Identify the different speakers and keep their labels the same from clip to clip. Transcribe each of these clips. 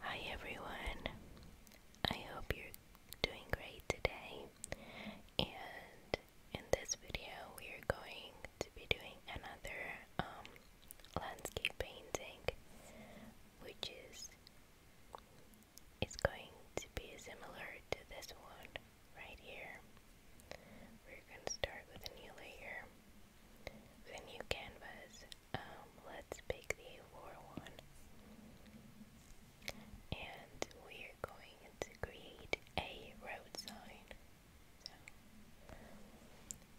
Speaker 1: Hi everyone, I hope you're doing great today. And in this video, we are going to be doing another um, landscape painting, which is is going to be similar to this one right here. We're gonna start with a new layer, with a new canvas, um, let's pick the war one. And we're going to create a road sign. So,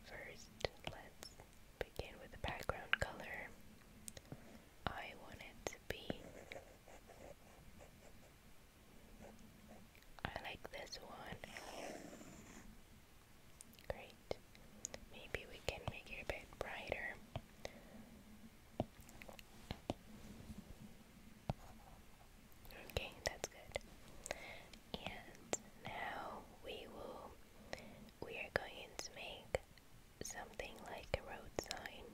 Speaker 1: first, let's begin with the background color. I want it to be. I like this one. Great. Maybe we can make it a bit brighter. Okay, that's good. And now we will we are going to make something like a road sign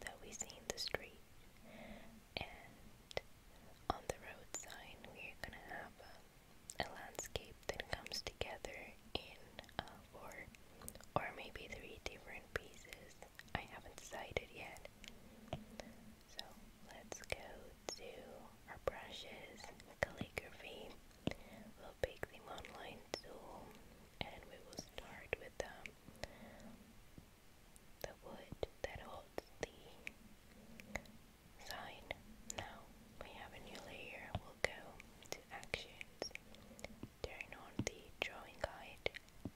Speaker 1: that we see in the street. And on the road sign we are gonna have a a landscape that comes together in uh, or maybe three different pieces. I haven't decided yet. So let's go to our brushes, calligraphy. We'll pick the online tool and we will start with um, the wood that holds the sign now. We have a new layer. We'll go to actions. Turn on the drawing guide.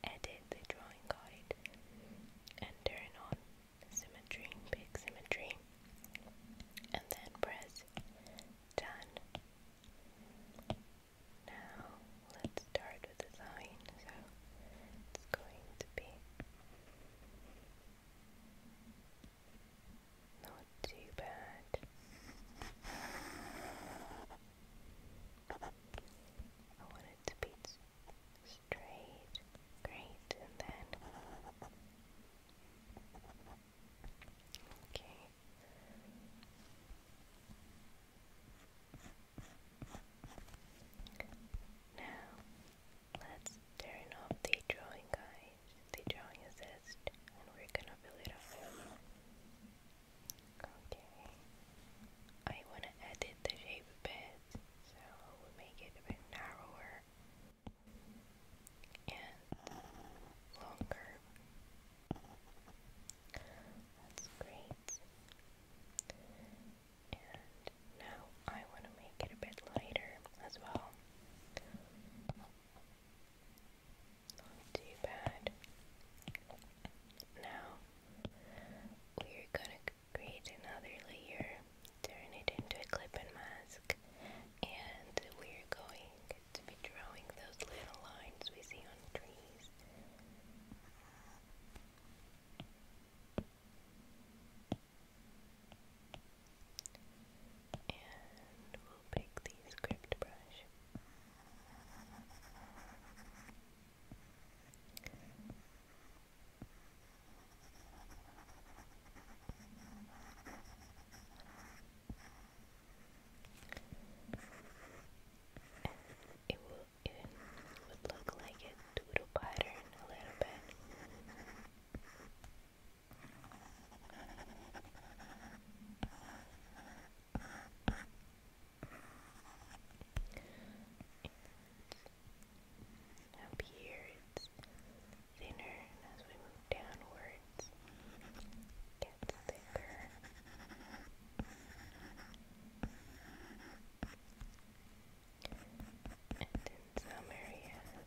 Speaker 1: Edit the drawing guide. turn on symmetry. Pick symmetry. And then press done. Now let's start with the sign. So it's going to be not too bad. I want it to be straight. Great, and then. Okay. Now, let's turn off the drawing guide the drawing assist and we're gonna fill it up. Okay. I wanna edit the shape a bit, so make it a bit narrower and longer. That's great. And now I want to make it a bit lighter as well. Not too bad. Now we're gonna create another layer, turn it into a clip and mask, and we're going to be drawing those little lines we see on trees. And we'll pick the script brush. it will it would look like a doodle pattern a little bit. And up here it's thinner, and as we move downwards, gets thicker. And in some areas,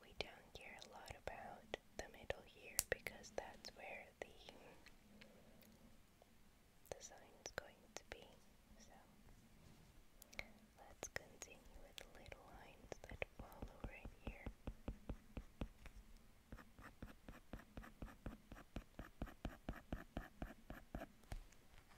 Speaker 1: We don't hear a lot about the middle here because that's where the the sign's going to be. So let's continue with the little lines that follow right here.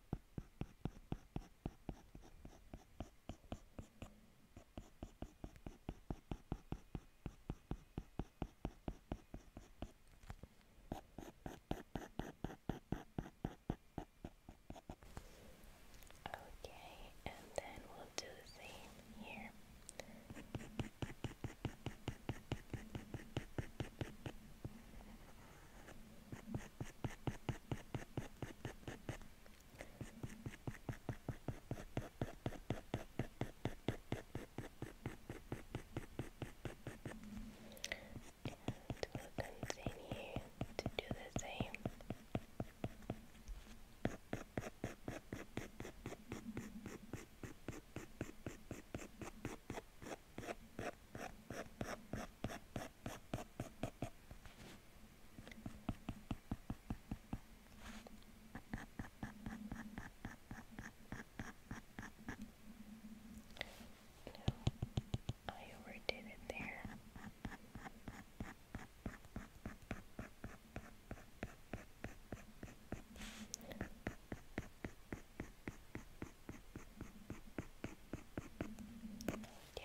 Speaker 1: Okay, and then we'll do the same here. And we'll continue to do the same. Good. No, I overdid it there. Okay,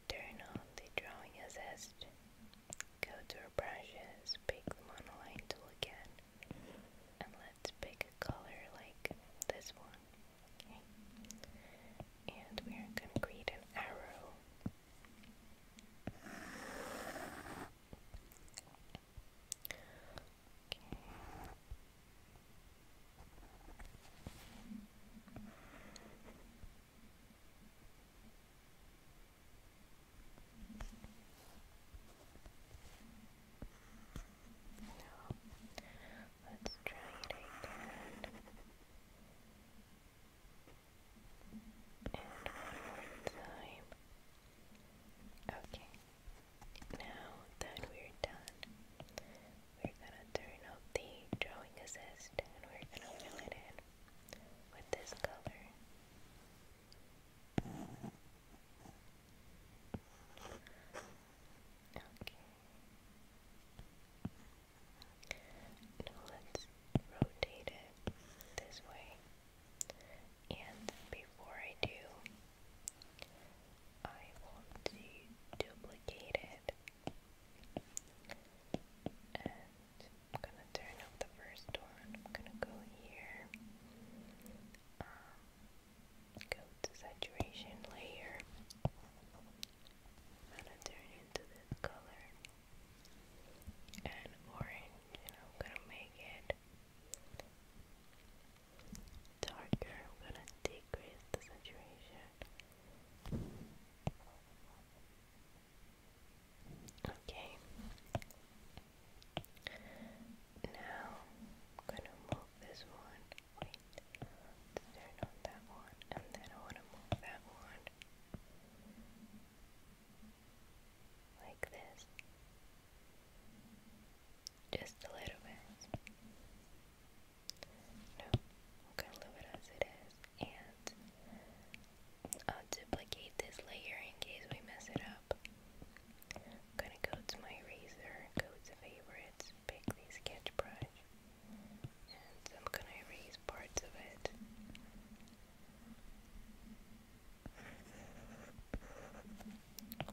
Speaker 1: Turn on the drawing assist. Go to our brushes, pick the monoline tool again, and let's pick a color like this one. And we are going to create an arrow. Okay. Now, let's try it again. And one more time. Okay. Now that we're done, we're gonna turn off the drawing assist and we're gonna fill it in with this color. let's rotate it this way. And before I do, I want to duplicate it I'm gonna turn off the first one. I'm gonna go here. Um, go to saturation layer. I'm gonna turn into this color and orange, and I'm gonna make it darker. I'm gonna decrease the saturation. Okay. Now I'm gonna move this one. turn on that one, and then I wanna move that one like this. Just a little bit. No, I'm gonna as it is, and I'll duplicate this layer in case we mess it up. gonna go to my eraser, go to favorites, pick the sketch brush, and I'm gonna erase parts of it. Oh,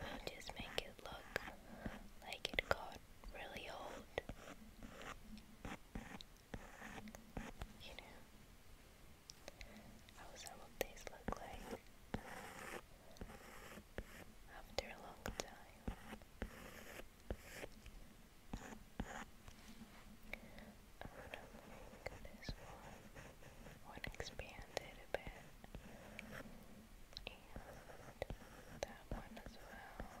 Speaker 1: we'll just make it look like it got really old. You know, how some of look like after a long time. I'm gonna make this one, one expanded a bit, and that one as well.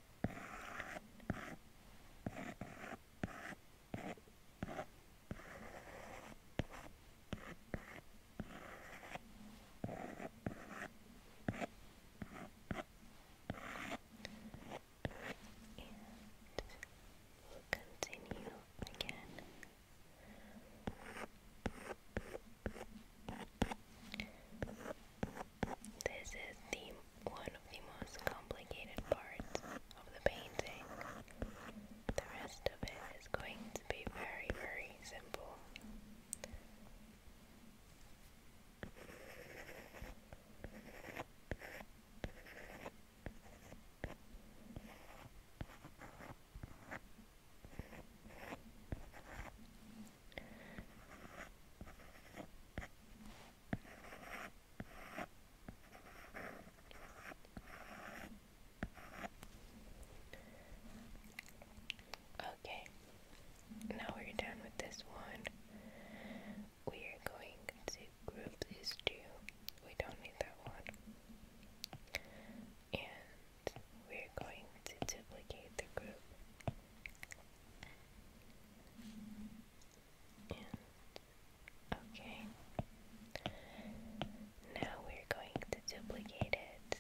Speaker 1: we'll continue again. This is the one of the most complicated parts of the painting. The rest of it is going to be very, very simple. Okay, now we're done with this one. We are going to group these two. We don't need that one. And we're going to duplicate the group okay. Now we're going to duplicate it.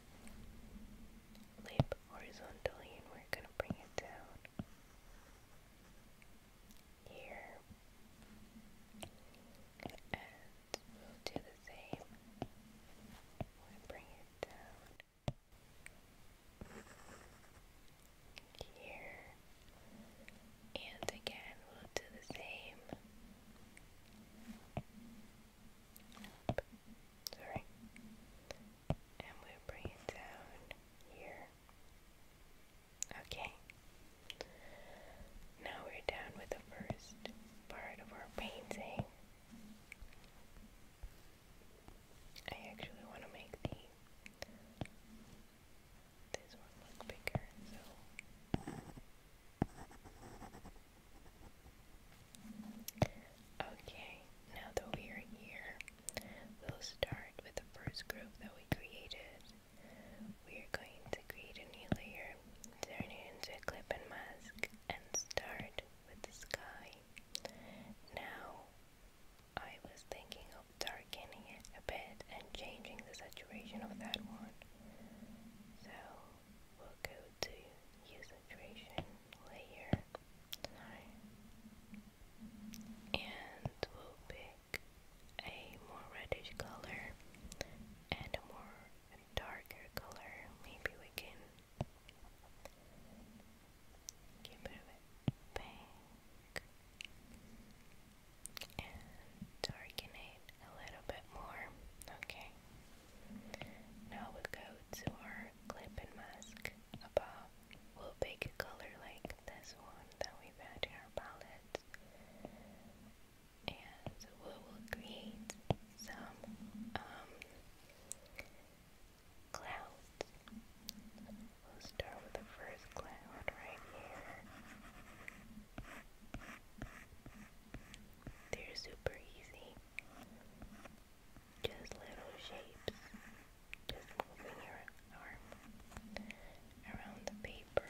Speaker 1: Leap horizontally and we're going to bring it down. Here. And we'll do the same. bring it down here, and again we'll do the same. Sorry, and we'll bring it down here. Okay, now we're done with the first part of our painting. I actually want to make the this one look bigger, so Okay, now that we are here, we'll start with the first group that we created. We are going to create a new layer, turn it into a clip and mask, and start with the sky. Now I was thinking of darkening it a bit and changing the saturation of that one. So we'll go to Hue Saturation layer. And we'll pick a more reddish color and a more darker color. Maybe we can you move it back and darken a little bit more. Okay. Now we go to our clip and mask above. We'll pick a color like this one that we've had in our palette. And we will create some um, clouds. We'll start with the first cloud right here. They're super easy. Just little shapes. Just moving your arm around the paper.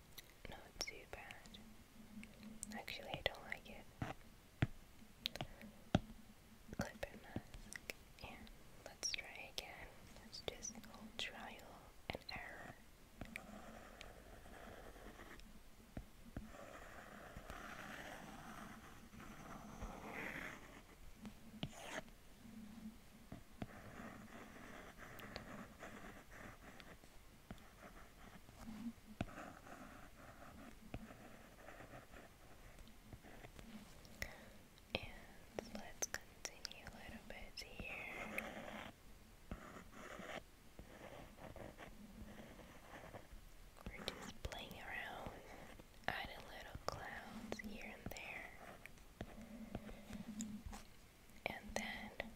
Speaker 1: Not too bad. Actually, I don't like it. Clip and mask. let's try again. Let's just hold trial and error. And let's continue a little bit here. We're just playing around, adding little clouds here and there. And then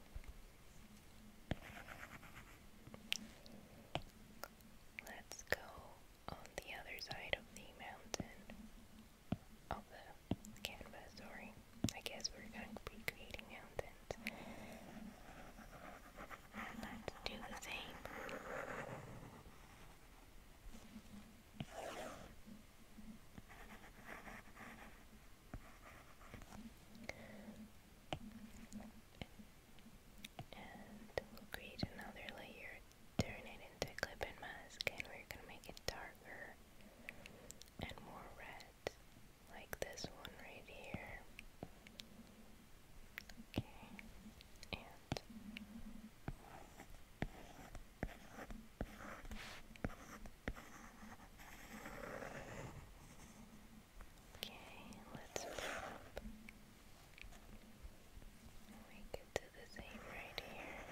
Speaker 1: Let's go on the other side of the mountain of the canvas, sorry. I guess we're going to be creating mountains. And let's do the same. And we'll create another layer, turn it into a clip and mask, and we're gonna make it darker and more red, like this one right here. Okay, and Okay, let's flip. We to the same right here.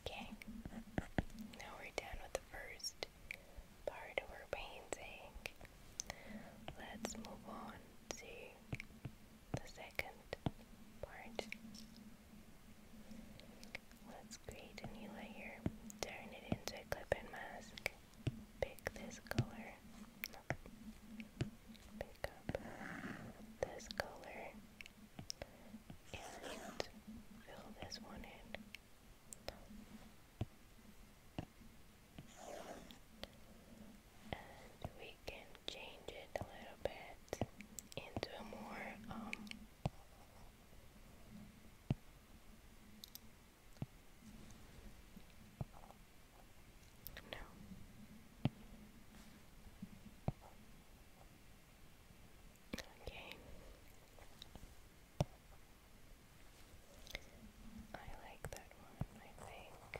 Speaker 1: Okay, now we're done with the first part of our painting. Let's move on to the second part. Let's create a new layer, turn it into a clip and mask, pick this color, pick up this color, and fill this one in and we can change it a little bit into a more um, no Okay. I like that one, I think.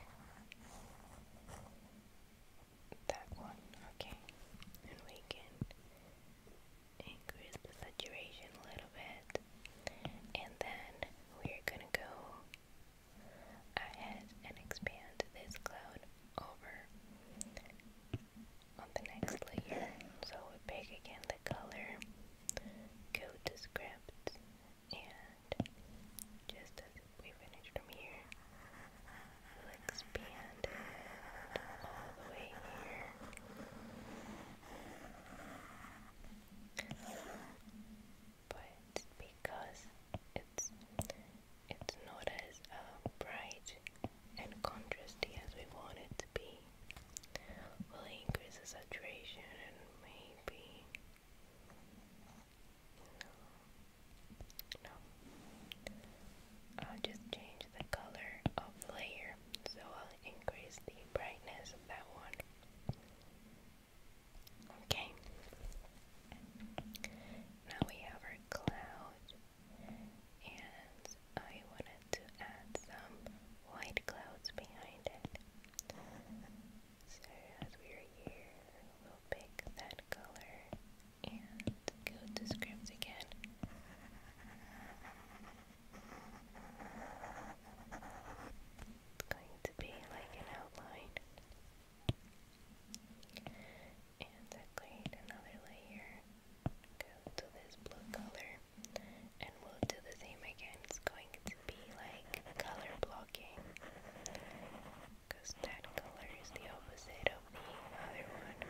Speaker 1: That one, okay. And we can increase the saturation a little bit. And then we're gonna go ahead and expand this cloud over on the next layer. So we pick again the color, go to script, and just as we finish from here, expand it all the way here. But because it's it's not as uh, bright and contrasty as we want it to be will increase the saturation and maybe no. I'll just change the color of the layer so I'll increase the brightness of that one okay now we have our cloud and I wanted to add some white clouds behind it. So as we're here, we'll pick that color and go to scripts again. It's going to be like an outline. And create another layer. Go to this blue color and we'll do the same again. It's going to be like color blocking because that color the opposite of the other one.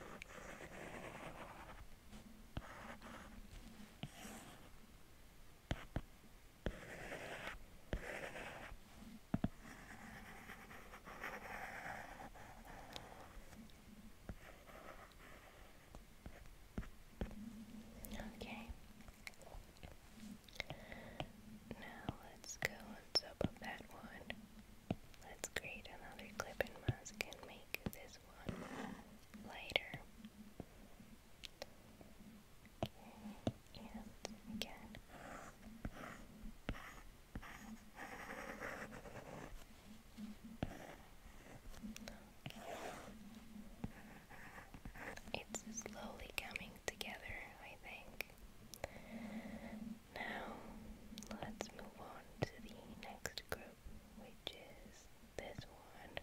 Speaker 1: Okay. Now let's go and soap up that one. Let's create another clipping mask and make this one lighter. And again. It's slowly coming together, I think. Now, let's move on to the next group, which is this one.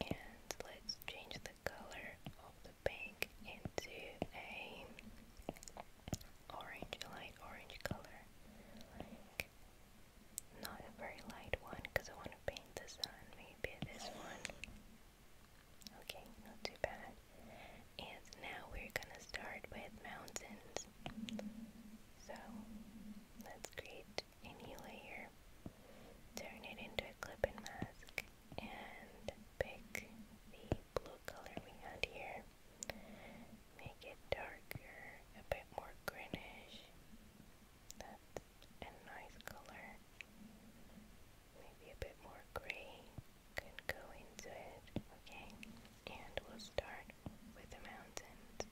Speaker 1: And let's change the color of the pink into a orange, light orange color, like not a very light one because I want to paint the sun, maybe this one. Okay, not too bad. And now we're gonna start with mountains. So let's create a new layer, turn it into a clipping mask, and pick the blue what color we had here. Make it darker, a bit more greenish. That's a nice color. Maybe a bit more gray can go into it. Okay, and we'll start with the mountains.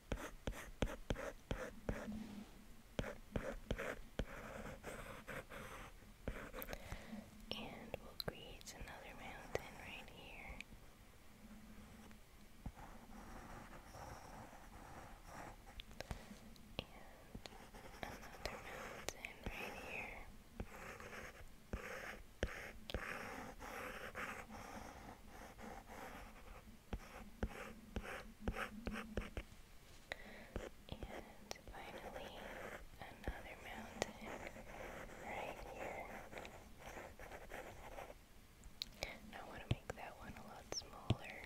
Speaker 1: And we'll create another mountain right here. And another mountain right here. And finally, another mountain right here. I want to make that one a lot smaller.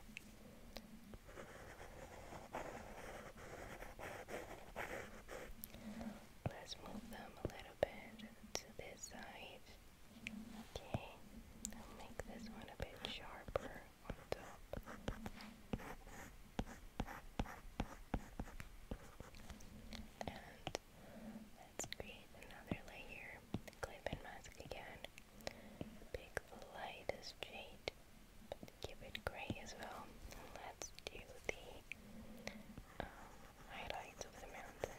Speaker 1: Let's move them a little bit to this side. Okay, I'll make this one a bit sharper on top. And let's create another layer. Clip and mask again. Pick the lightest shade, but keep it gray as well. let's do the um, highlights of the mountains.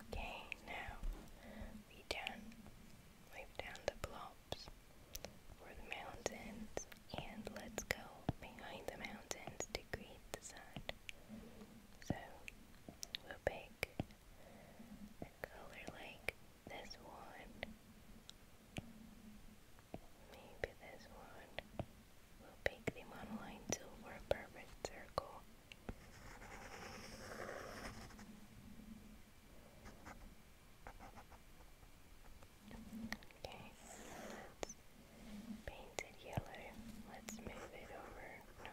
Speaker 1: Okay, now we done Wave down the blobs for the mountains and let's go behind the mountains to greet the sun. So we'll pick a color like this one. Maybe this one. We'll pick the monoline silver perfect circle. Okay, let yellow. Let's move it over. No.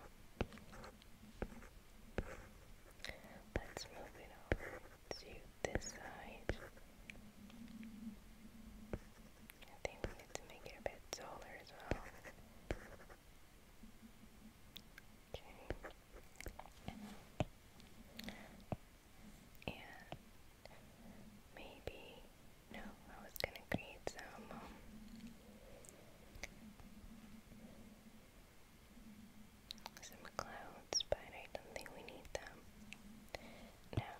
Speaker 1: Let's move it over to this side. I think we need to make it a bit taller as well. Okay. And maybe, no, I was going to create some um, some clouds, but I don't think we need them. Now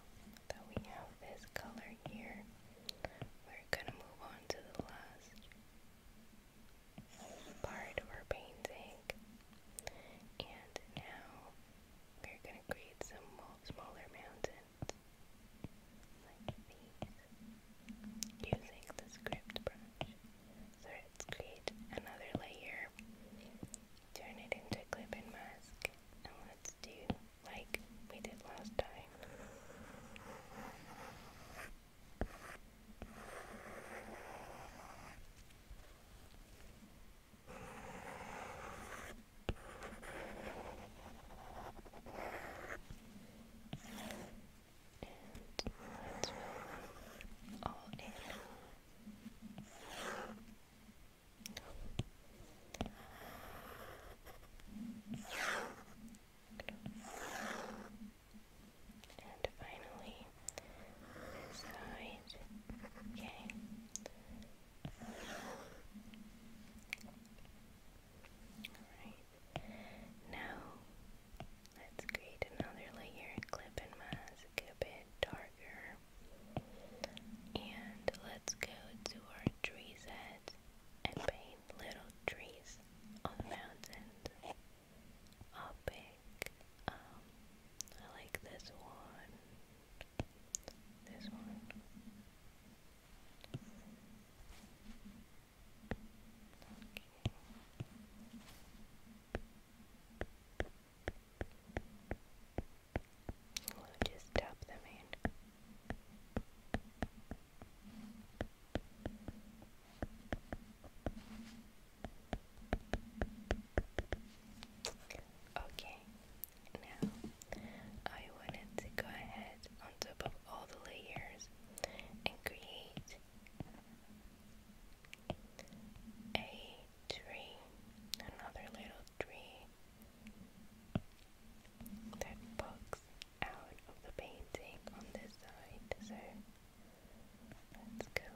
Speaker 1: that we have this color here, we're gonna move on to the last part of our painting. And now we're gonna create some smaller mountains like these using the script brush. So let's create another layer, turn it into a clip and mask, and let's do like we did last time let's fill all in. Good. And finally, this side. Okay. Alright. Now, let's create another layer, clip and mask a bit darker. And let's go to our tree set and paint little trees on mountains opaque. Um, I like this one. This one. We'll just tap them in. Okay, now I wanted to go ahead on top of all the layers and create a tree, another little tree that pops out of the painting on this side. So let's go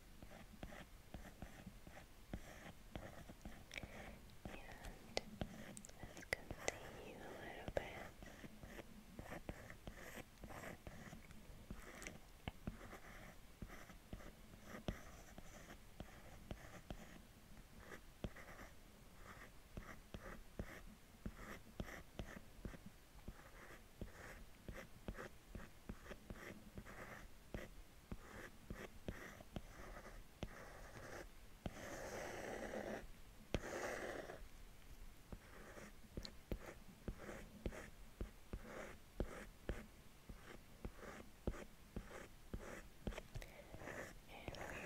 Speaker 1: let's continue a little bit. And we're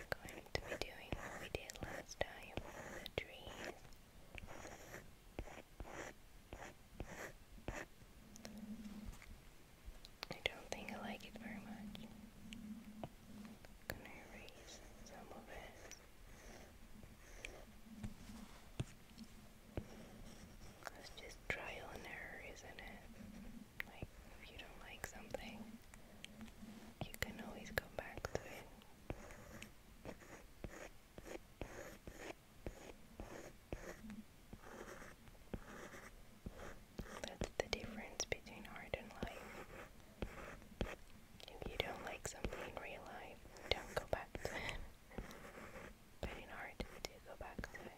Speaker 1: going to be doing what we did last time with the trees. I don't think I like it very much. i erase some of it. It's just trial and error, isn't it? Like, if you don't like something, you can always go back to it. That's the difference between art and life. If you don't like something in real life, don't go back to it. but in art, do go back to it.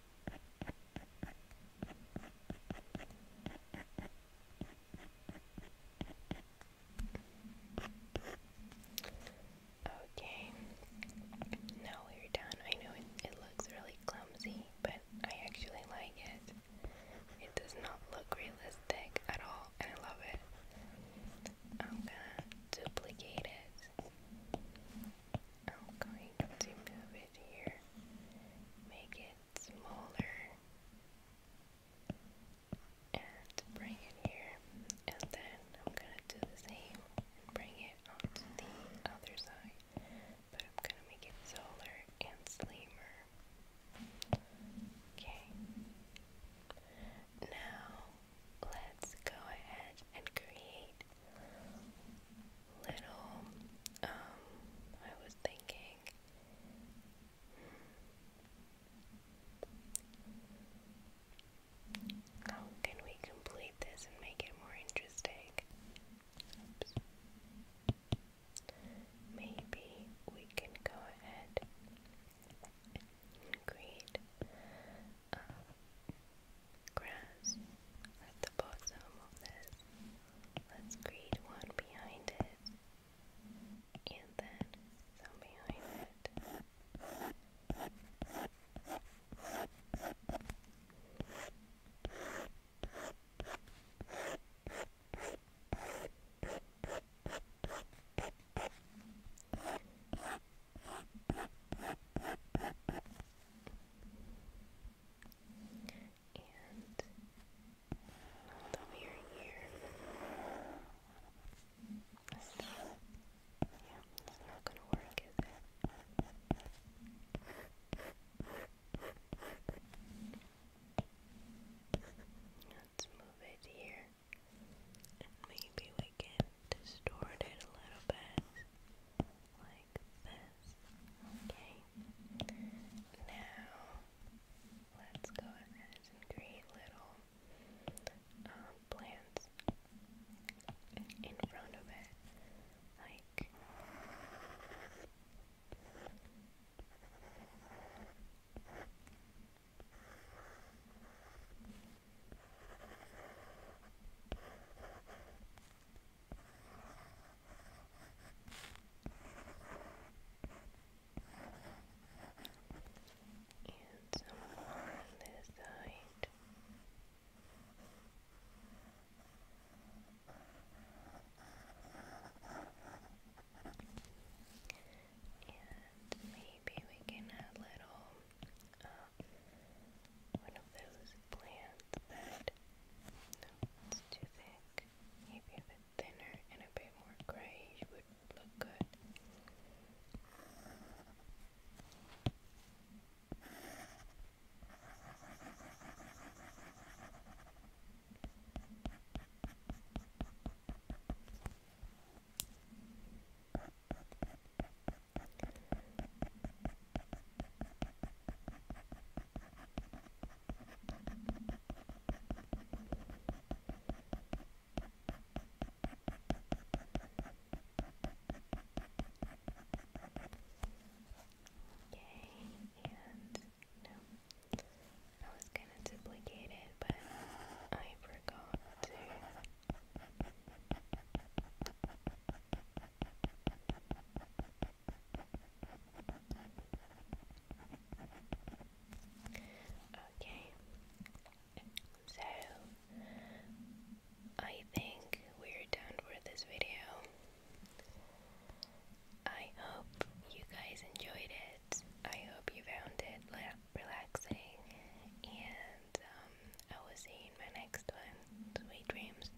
Speaker 1: Okay, now we're done. I know it, it looks really clumsy, but I actually like it. It does not look realistic at all, and I love it. I'm gonna duplicate it. I'm going to move it here, make it smaller and bring it here and then I'm gonna do the same and bring it onto the other side but I'm gonna make it taller and slimmer okay now let's go ahead and create little, um, I was thinking, how can we complete this and make it more interesting? Maybe we can go ahead and create uh, grass at the bottom of this. Let's create one behind it and then some behind it and hold over your yeah, that's not gonna work, Let's move it here, maybe we can distort it a little bit, like like this. Okay. Now let's go ahead and create little um, plants in front of it, like and some more on this side. And maybe we can add little um, one of those plants that no, it's too Maybe a bit thinner and a bit more grayish would look good and no, I was gonna duplicate it, but I forgot to. Okay, so I think we're done for this video. I hope you guys enjoyed it. I hope you found it relaxing, and um, I will see you in my next one. Sweet dreams.